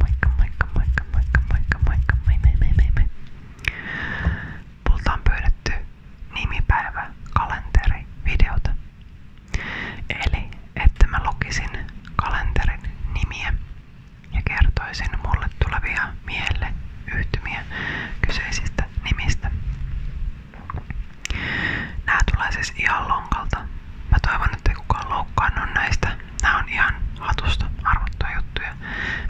Moikka, moikka, moikka, moikka, kalenteri, videota. Eli että mä lukisin kalenterin nimiä ja kertoisin mulle tulevia mielle yhtymiä kyseisistä nimistä. Nää tulee siis ihan lonkalta Mä toivon, ettei kukaan loukkaannu näistä. Nämä on ihan hatusta arvottuja juttuja,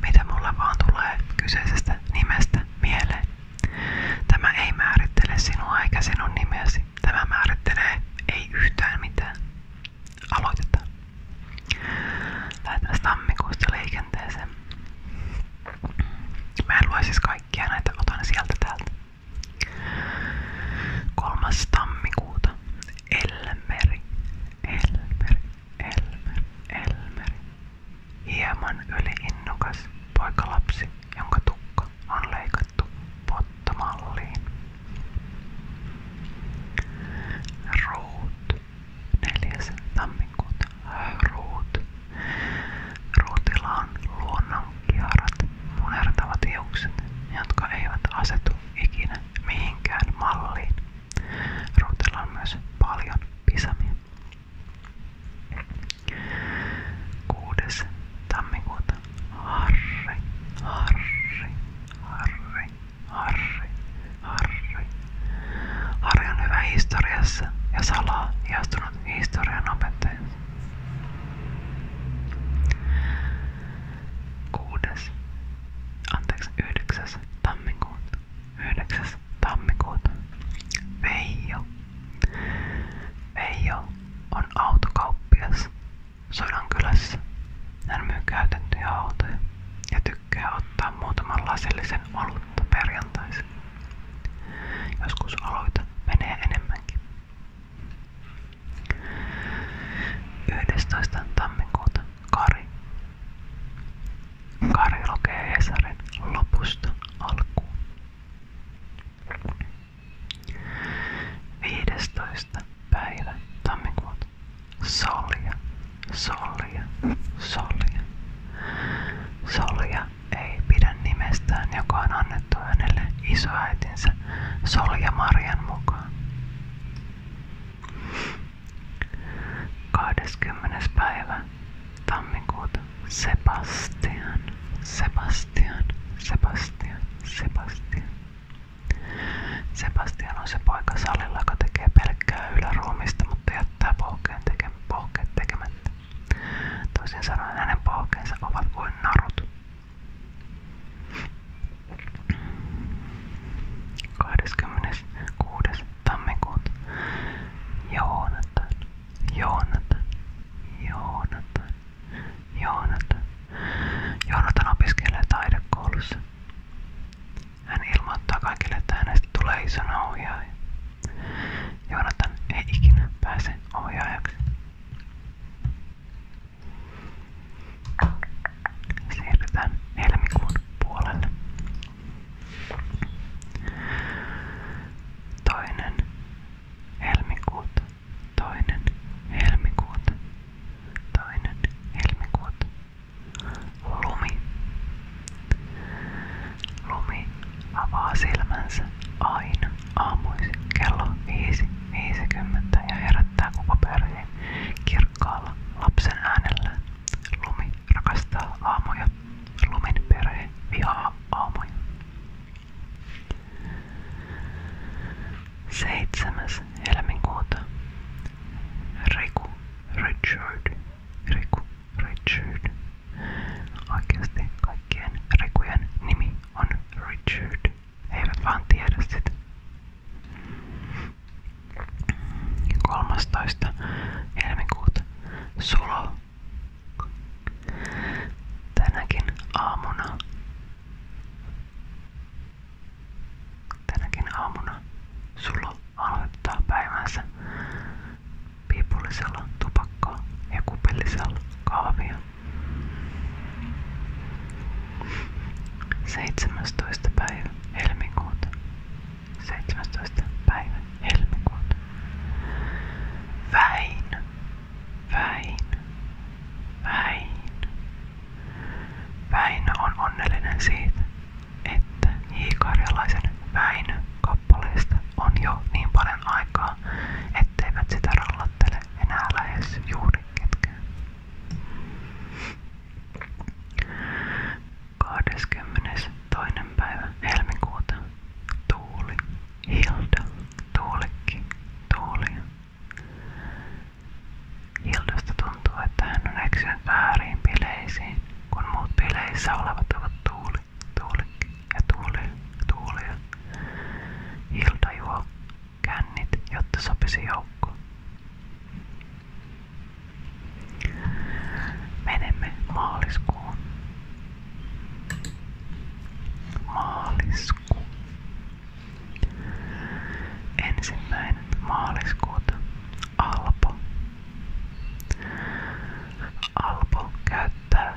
mitä mulle vaan tulee kyseisestä nimestä mieleen. Tämä ei määrittele sinua eikä sinun nimesi. Tämä määrittelee ei yhtään mitään. Aloitetaan. Lähdetään tammikuusta liikenteeseen. Mä en lue siis kaikkia näitä, otan sieltä täältä. 3. tammikuuta Elmeri, Elmeri, Elmeri, Elmeri. Hieman yliinnokas poikalapsi, jonka tukka on leikattu pottamalliin. Ruut, 4. tammikuuta. Ruut. Ruutilla on luonnon kiarat, punertavat hiukset, eivät asetu ikinä mihinkään malliin. Ruutella on myös paljon pisamia. 6. tammikuuta Harri, Harri, Harri, Harri, Harri. Harri on hyvä historiassa ja salaa ihastunut historian opettaja kuudes, anteeksi, 9. tammikuuta. 9. tammikuuta. Veijo. Veijo on autokauppias Sodankylässä. Hän myy käytettyjä autoja ja tykkää ottaa muutaman lasillisen olutta perjantaisin. Joskus aloita menee enemmänkin. 11. tammikuuta Kari. Kari lukee Hesarin lopusta alkuun. 15. päivä tammikuuta Solja, Solja, Solja. Solja ei pidä nimestään, joka on annettu hänelle isoäitinsä Solja Marian mukaan. 20. päivä tammikuuta Sebastian, Sebastian, Sebastian, Sebastian. Sebastian on se poika salilla, joka tekee pelkkää yläruumista, mutta jättää pohkeen teke, pohkeet tekemättä. Toisin sanoen hänen pohkeensa ovat kuin narut. 26. tammikuuta Joonatan, Joonatan, Joonatan, Joonatan. Joonatan opiskelee taidekoulussa. Hän ilmoittaa kaikille, että hänestä tulee isona ohjaaja. Joonatan ei ikinä pääse ohjaajaksi. Siirrytään helmikuun puolelle. Toinen helmikuuta, toinen helmikuuta, toinen helmikuuta. Lumi. Lumi avaa silmänsä aina aamuisin kello 5.50 ja herättää koko perheen kirkkaalla lapsen äänellä. Lumi rakastaa aamuja. lumen perhe vihaa aamuja. 7. helmikuuta Riku Richard Riku Richard Oikeasti kaikkien Rikujen nimi on Richard he eivät vaan tiedä sitä. 13. helmikuuta Sulo. Tänäkin aamuna. Tänäkin aamuna Sulo aloittaa päivänsä piipullisella tupakkaa ja kupillisella kahvia. 17. päivä helmikuuta. 17. päivä helmikuuta. Väin. Väin. Väin. Väinö on onnellinen siitä, että hiikarjalaisen Väinö kappaleesta on jo niin paljon aikaa, etteivät sitä rallattele enää lähes juuri ketkään. 22. päivä helmikuuta. Tuuli. Hilda. Tuulikki. Tuuli. Hildasta tuntuu, että hän on eksynyt väärin bileisiin, kun muut bileissä olevat ovat tuuli, tuulikki ja tuuli, tuuli. Hilda juo kännit, jotta sopisi joukkoon. Menemme maaliskuun. Maaliskuu. Ensimmäinen maaliskuuta Alpo. Alpo käyttää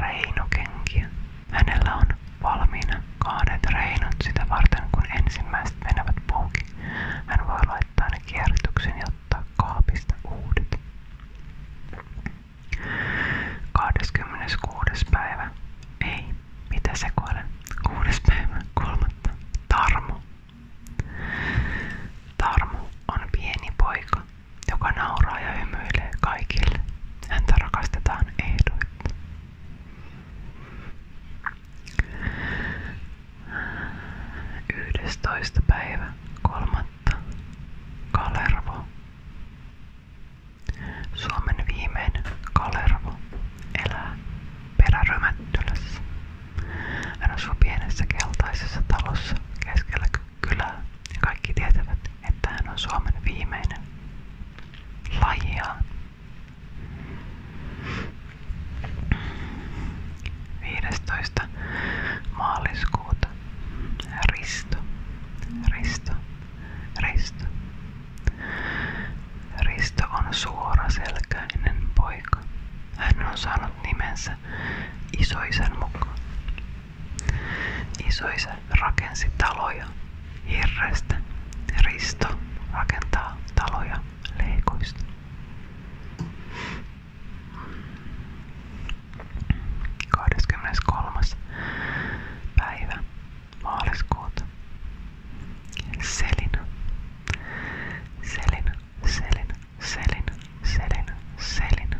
reinokenkiä Hänellä on valmiina kahdet reinot sitä varten, kun ensimmäiset menevät poikki. Hän voi laittaa ne kierrätyksen ja ottaa kaapista uudet. 26. päivä. Ei, mitä sekoilen? 6. päivä, kolmatta. Tarmo. Tarmo on pieni poika, joka nauraa ja hymyilee kaikille. Häntä rakastetaan ehdoitta. Yhdestoista päivä kolmatta Kalervo. Suomen viimeinen Kalervo elää perärymättylässä. Hän asuu pienessä keltaisessa talossa keskellä kylää ja kaikki tietävät, että hän on Suomen viimeinen lajia. Viidestoista maaliskuuta Risto, Risto, Risto. Risto on suoraselkäinen poika. Hän on saanut nimensä isoisen mukaan. Isoisä rakensi taloja hirrestä. Risto rakentaa taloja leikoista. Kahdeskymmenes kolmas päivä maaliskuuta. Selina. Selina, Selina, Selina, Selina, Selina.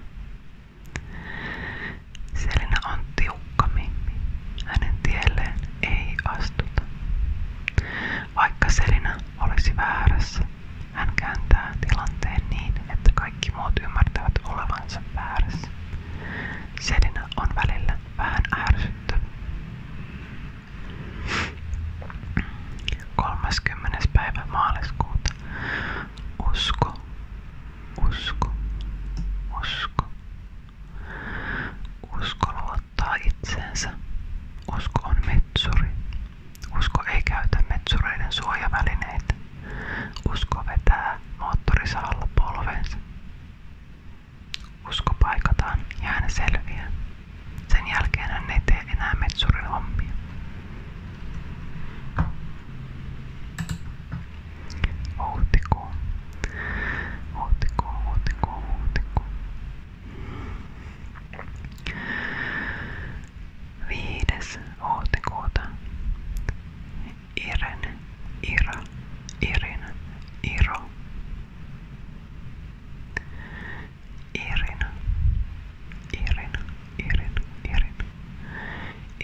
Selina on tiukka mimmi. Hänen tielleen ei astuta. Vaikka Selina olisi väärässä, hän kääntää tilanteen niin, että kaikki muut ymmärtävät olevansa väärässä. Selina on välillä vähän ärsyttävä. 30. päivä maaliskuuta. Usko, usko, usko, Usko luottaa itseensä. Usko on metsuri. Usko ei käytä metsureiden suojavälineitä. Usko vetää moottorisahalla polvensa. Usko paikataan ja hän selviää. Sen jälkeen hän ei tee enää metsurin hommia. Huhtikuun. Huhtikuun, huhtikuun, huhtikuun. Viides huhtikuuta. Iren, Ira, Irin, Iro. Irin, Irin, Irin, Irin.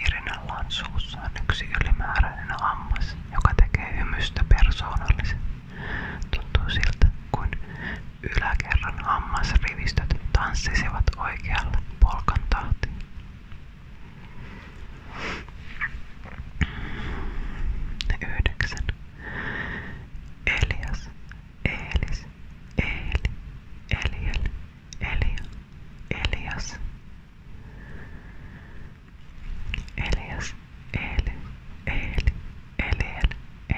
Irinalla on suussaan yksi ylimääräinen hammas, joka tekee hymystä persoonallisen. Tuntuu siltä, kuin yläkerran hammasrivistöt tanssisivat oikealla polkan tahtiin. Yhdeksän. Elias, Eelis, Eeli, Eliel, Elia, Elias, Elias, Eli, Eli, Eliel,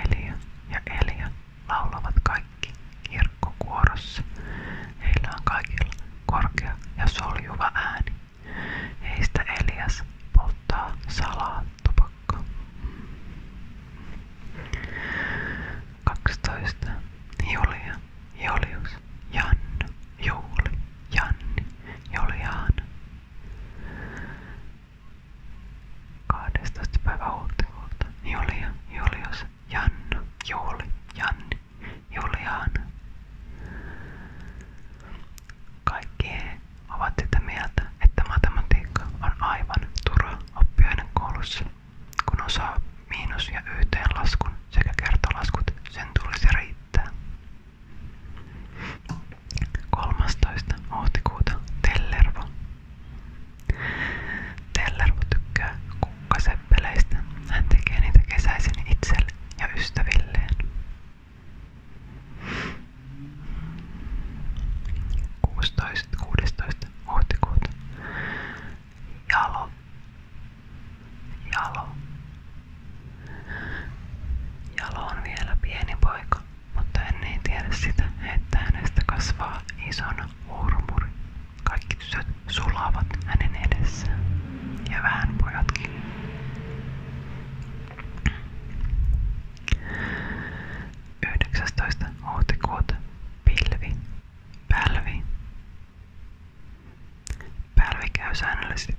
Elia ja Elia laulavat kaikki kirkkokuorossa. Heillä on kaikilla korkea ja soljuva ääni. Heistä Elias polttaa salaa tupakkaa. 12. Julia Julius, Jannu, Juuli, Janni, Juliana. 12. päivä huhtikuuta Julia, Julius, Jannu, Juuli, Janni, Juliana. Kaikki he ovat sitä mieltä, että matematiikka on aivan turha oppiaine koulussa, kun osaa miinus- ja yhteenlaskun sekä kertalaskut, sen tulisi riittää. 13. huhtikuuta Tellervo. Tellervo tykkää kukkaseppeleistä. Hän tekee niitä kesäisin itselle ja ystävilleen. 16. 16. huhtikuuta Jalo Jalo. Jalo on vielä pieni poika, mutta hän ei niin tiedä sitä, että hänestä kasvaa isona uurumuri. Kaikki tytöt sulavat hänen edessään. Ja vähän pojatkin. Yhdeksästoista huhtikuuta pilvi, pälvi, Pälvi käy säännöllisesti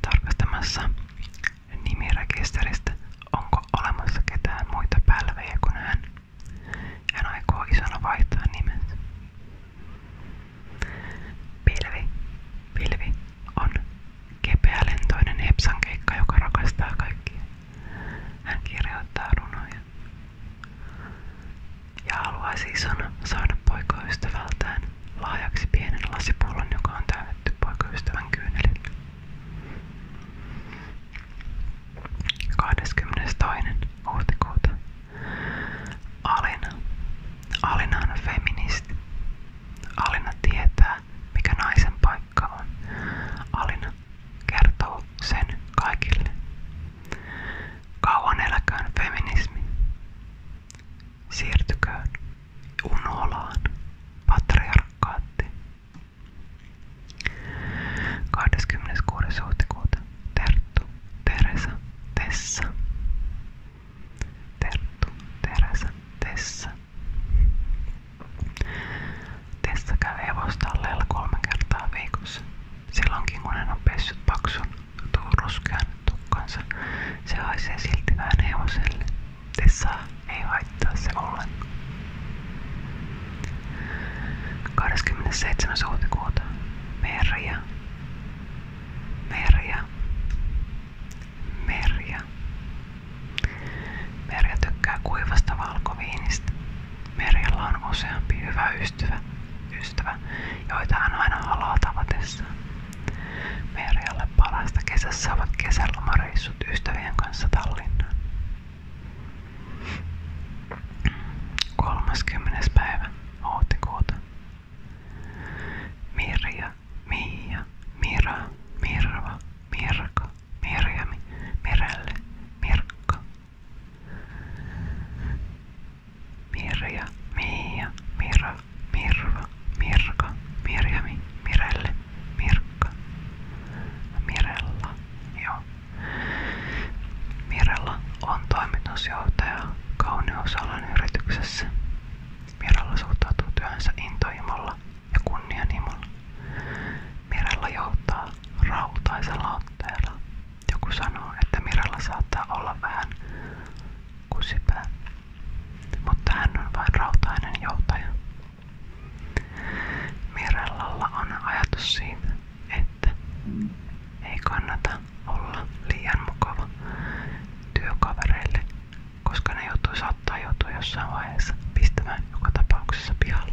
tarkastamassa nimirekisteristä, onko olemassa ketään muita pälvejä kuin hän. Hän aikoo isona vaihtaa nimet. Pilvi. Pilvi on kepeälentoinen hepsankeikka, joka rakastaa kaikkia. Hän kirjoittaa runoja, ja haluaisi isona saada poikaystävältään laajaksi pienen lasipullon, joka on täytetty poikaystävän kyynelillä. 22. huhtikuuta Alina. Alina on feministi. Alina tietää, mikä naisen paikka on. Alina kertoo sen kaikille. Kauan eläköön feminismi. Siirtyköön unolaan patriarkaatti. 26. Terttu, Teresa, Tessa. Terttu, Teresa, Tessa. Tessa käy hevostalleella viikossa. Silloinkin kun hän on pessyt paksun tuon ruskean tukkansa, se haisee silti vähän hevoselle. Tessaa ei haittaa se ollenkaan. 27. huhtikuuta Merja. Merja. Merja. Merja tykkää kuivasta valkoviinistä. Merjalla on useampi hyvä ystävä, ystävä joita hän aina haluaa tavatessaan. Merjalle parasta kesässä ovat kesälomareissut ystävien kanssa Tallinnaan. 30. päivä huhtikuuta. Mirja, Miia, Mira, Mirva, Mirka, Mirjami, Mirelle, Mirkka, Mirja, Miia, Mira, Mirva, Mirka, Mirjami, Mirelle, Mirkka, Mirella, joo. Mirella on toimitusjohtaja kauneusalan yrityksessä. Mirella suhtautuu työhönsä intohimolla ja kunnianhimolla. Mirella johtaa rautaisella otteella joku sanoo, että Miralla saattaa olla vähän kusipää, mutta hän on vain rautainen joutaja. Mirellalla on ajatus siitä, että ei kannata olla liian mukava työkavereille, koska ne joutuu saattaa joutua jossain vaiheessa pistämään joka tapauksessa pihalle.